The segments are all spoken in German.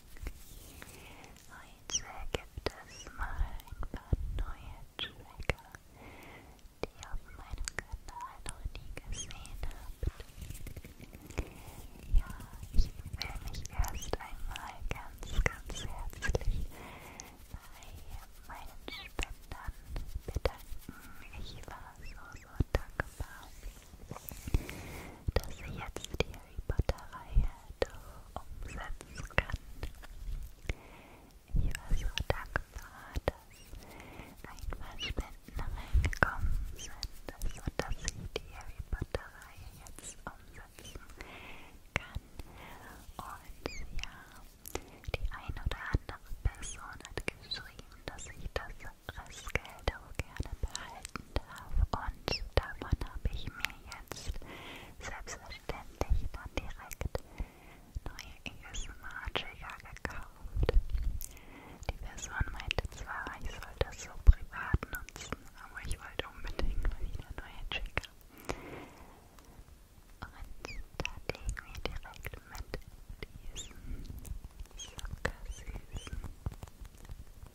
Heute gibt es mal ein paar neue Trigger, die ihr auf meinem Kanal noch nie gesehen habt. Ja, ich will mich erst einmal ganz, ganz herzlich bei meinen Spendern bedanken. Ich war so, so dankbar, dass sie jetzt die Harry Potter Reihe doch umsetzen kann. Ich war so dankbar, dass ein paar Spenden reingekommen sind und dass ich die Harry Potter Reihe jetzt umsetzen kann. Und ja, die ein oder andere Person hat geschrieben, dass ich das Restgeld auch gerne behalten darf und davon habe ich mir jetzt selbstverständlich dann direkt neue ASMR-Trigger e gekauft. Die Person meinte zwar, ich soll das so privat nutzen, aber ich wollte unbedingt wieder neue Trigger. Und da legen wir direkt mit diesem zuckersüßen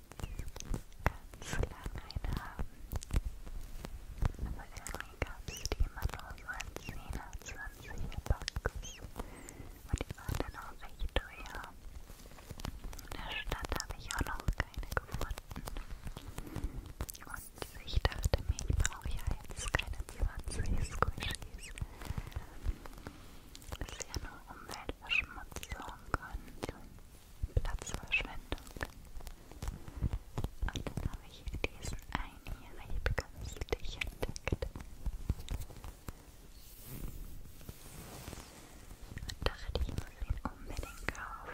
ganz lang einen haben. Aber irgendwie gab es die immer nur so an 10er, 20er Bucks. Und die waren dann auch recht teuer. In der Stadt habe ich auch noch keine gefunden. Und ich dachte mir, ich brauche ja jetzt keine 20 Squishies. Das ist ja nur Umweltverschmutzung und Platzverschwendung. Und dann habe ich hier diesen einjährig künstlich entdeckt. Und dachte, ich muss ihn unbedingt kaufen.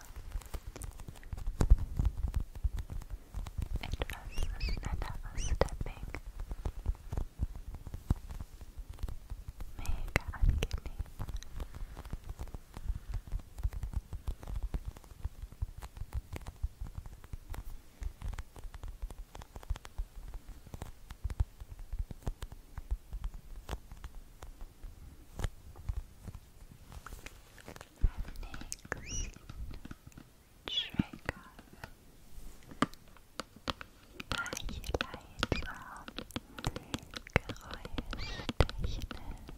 it was that was stepping. Mega angenehm. nächsten Trigger. Da ich leiser Geräuschtechnisch etwas enttäuscht. Ich dachte nämlich, es würde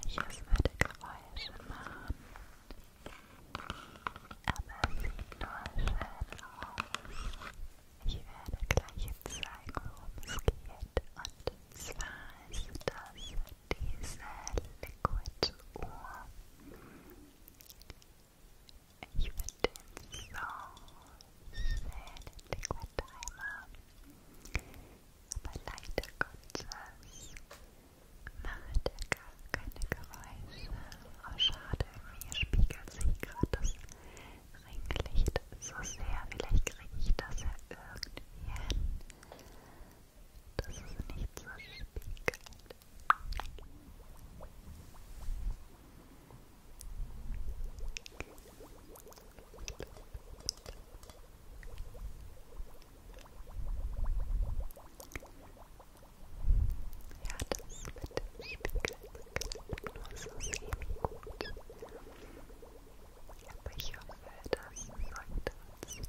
Geräusche machen. aber es sieht nur schön aus. Ich werde gleich zeigen, worum es geht. Und zwar ist das diese Liquid Uhr. Ich finde den so schön, den Liquid Timer. macht er gar keine Geräusche. Oh schade, irgendwie spiegelt sich gerade das Ringlicht so sehr. Vielleicht kriege ich das ja irgendwie hin, dass es nicht so spiegelt. Ach, ja, das mit dem Spiegel nur so semi-gut. Aber ich hoffe, das sorgt trotzdem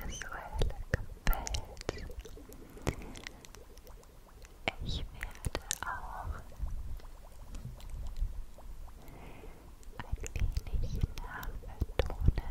visuell gefällt. Ich werde auch ein wenig nachbetonen,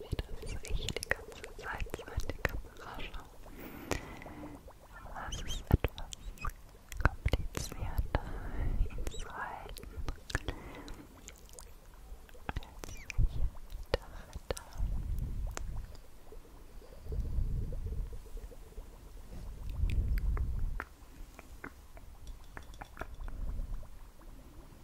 Wie das ich die ganze Zeit so in die Kamera schaue. Aber es ist etwas komplizierter, ihn zu halten, als ich dachte. Hm.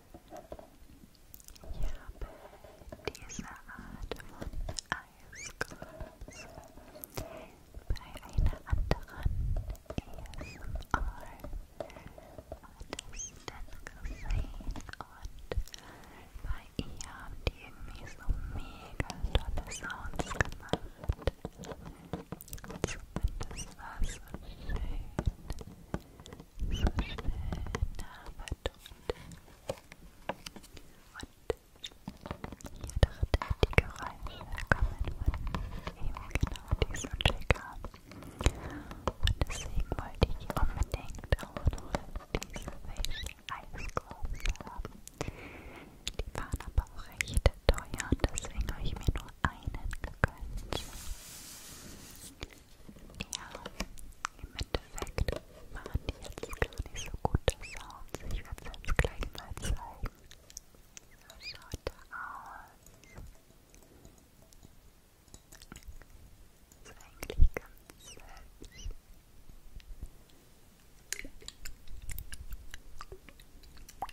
Ich habe diese Art von Eisglas bei einer anderen ASMR-Artistin gesehen und bei ihr haben die irgendwie so mega tolle Sounds gemacht. Zumindest war es so schön so schön Arbeit und hier dachte ich, die Geräusche kommen von eben genau diesem Trigger und deswegen wollte ich unbedingt auch noch diese Facial Ice Gloves haben die waren aber auch recht teuer und deswegen habe ich mir nur einen gegönnt. Ja, im Endeffekt waren die jetzt gar nicht so gute Sounds. Ich werde es jetzt gleich mal zeigen. So schaut er aus. Ist eigentlich ganz selbst.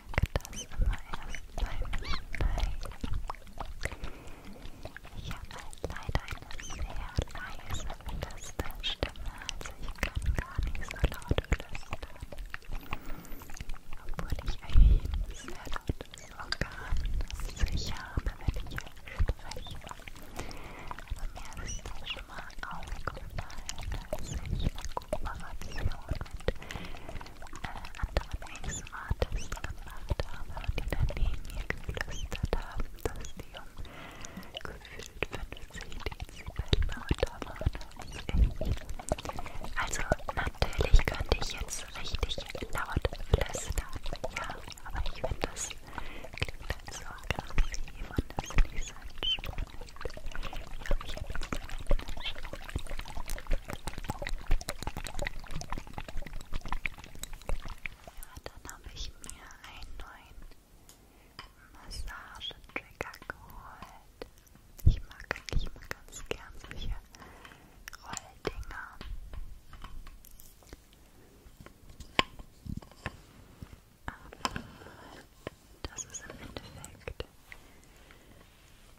das immer erst beim Schneiden. Ich habe halt leider eine sehr leise Flüsterstimme, also ich kann gar nicht so laut flüstern. Obwohl ich ein sehr lautes Organ sicher habe, wenn ich spreche. Aber mir ist das schon mal aufgefallen, als ich eine Kooperation mit äh, anderen Ex-Artisten gemacht habe, die dann neben mir geflüstert haben, dass die um gefühlt 50 Dezibel lauter waren als ich. Also natürlich könnte ich jetzt richtig laut flüstern, ja, aber ich finde das klingt halt so aggressiv und das ist nicht so entspannt dann habe ich mir einen neuen Massagetrigger geholt. Ich mag eigentlich immer ganz gern solche Rolldinger. Aber das ist im Endeffekt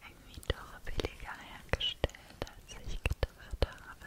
irgendwie doch billiger hergestellt, als ich gedacht habe.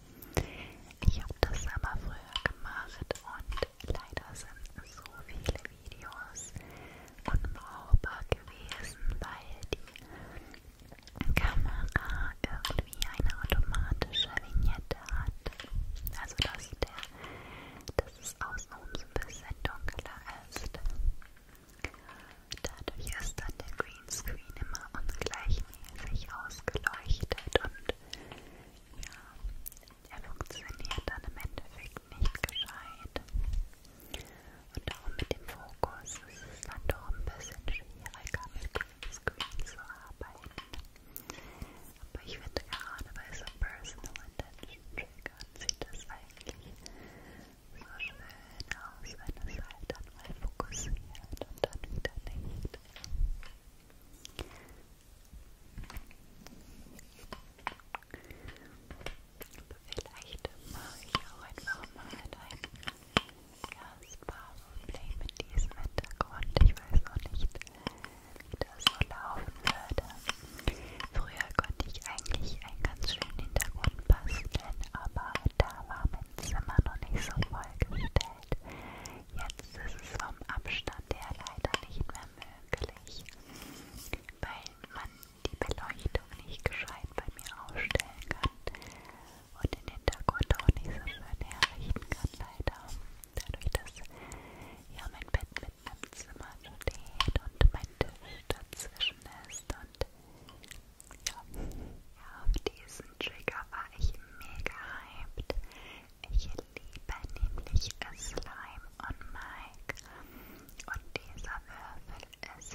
Ich habe das aber früher gemacht und leider sind so viele Videos unbrauchbar gewesen, weil die Kamera irgendwie eine automatische Vignette hat. Also dass, der, dass es außenrum so ein bisschen dunkler ist. Dadurch ist dann der Greenscreen immer ungleichmäßig ausgeleuchtet und ja, er funktioniert dann im Endeffekt nicht gescheit. Und darum mit dem Fokus ist es dann doch ein bisschen schwieriger mit Greenscreen zu arbeiten. Aber ich finde gerade bei so Personal Intention Triggern sieht das eigentlich so schön aus, wenn es halt dann mal fokussiert und dann wieder nicht. Vielleicht mache ich auch einfach mal ein Gasbar-Play mit diesem Hintergrund. Ich weiß noch nicht, wie das so laufen würde. Früher konnte ich eigentlich einen ganz schönen Hintergrund basteln, aber da war mein Zimmer noch nicht so vollgestellt. Jetzt ist es vom Abstand her leider nicht mehr möglich, weil man die Beleuchtung nicht gescheit bei mir aufstellen kann und den Hintergrund auch nicht so schön herrichten kann, leider. Dadurch, dass ja mein Bett mit meinem Zimmer steht und mein Tisch dazwischen ist und ja. Auf diesen Trigger war ich mega hyped. Ich liebe nämlich Slime und Mike. Und dieser Würfel ist,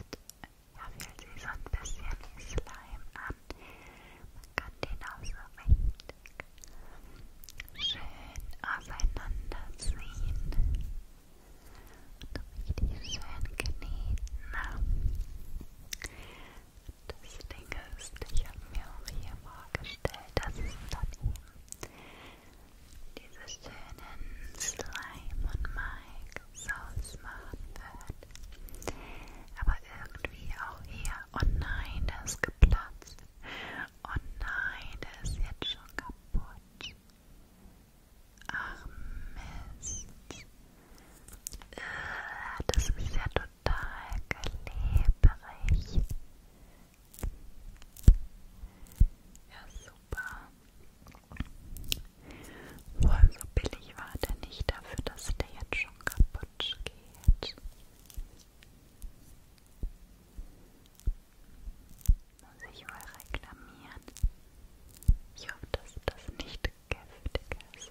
ja, fühlt sich so ein bisschen wie Slime an. Man kann den auch so richtig schön auseinanderziehen. Und richtig schön kneten. Das Ding ist, ich habe mir auch hier vorgestellt, dass es dann eben diese schönen Slime und Mike Sauce machen wird. Aber irgendwie auch hier, oh nein, der ist geplatzt. Oh nein, der ist jetzt schon kaputt. Ach Mist. Äh, das ist ja total klebrig. Ja, super. Wohl so billig war der nicht dafür, dass der jetzt schon kaputt geht. Muss ich mal reklamieren. Ich hoffe, dass das nicht giftig ist.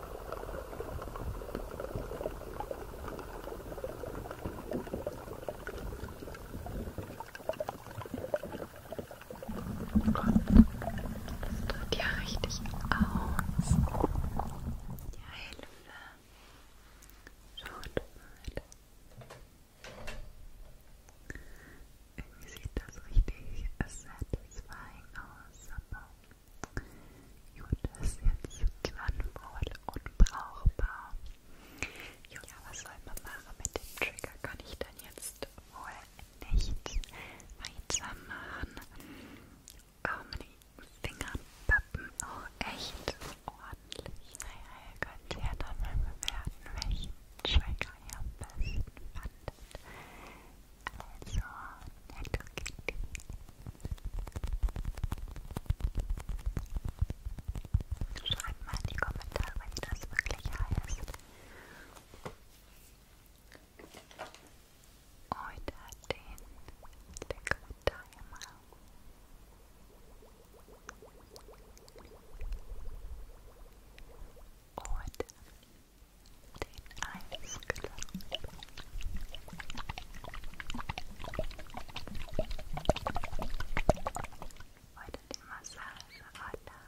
Das drückt ja richtig aus. Ja, Hilfe. Schaut mal irgendwie sieht das richtig satisfying aus, aber gut, das ist jetzt zwangvoll unbrauchbar. Ja, was soll man machen mit dem Trigger? Kann ich dann jetzt wohl nicht weitermachen? Oh, meine Finger pappen auch oh, echt ordentlich. Naja, ihr könnt ja dann mal bewerten, welchen Trigger ihr am besten fandet. Also, Hello Kitty. Schreibt mal in die Kommentare, wenn das wirklich heißt. Heute hat den leckeren Timer. Und den Eisklumpen. Heute die Massage, Alter.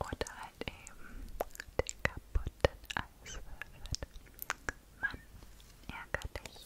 Oder halt eben den kaputten Eiswürfel. Mann, ärger dich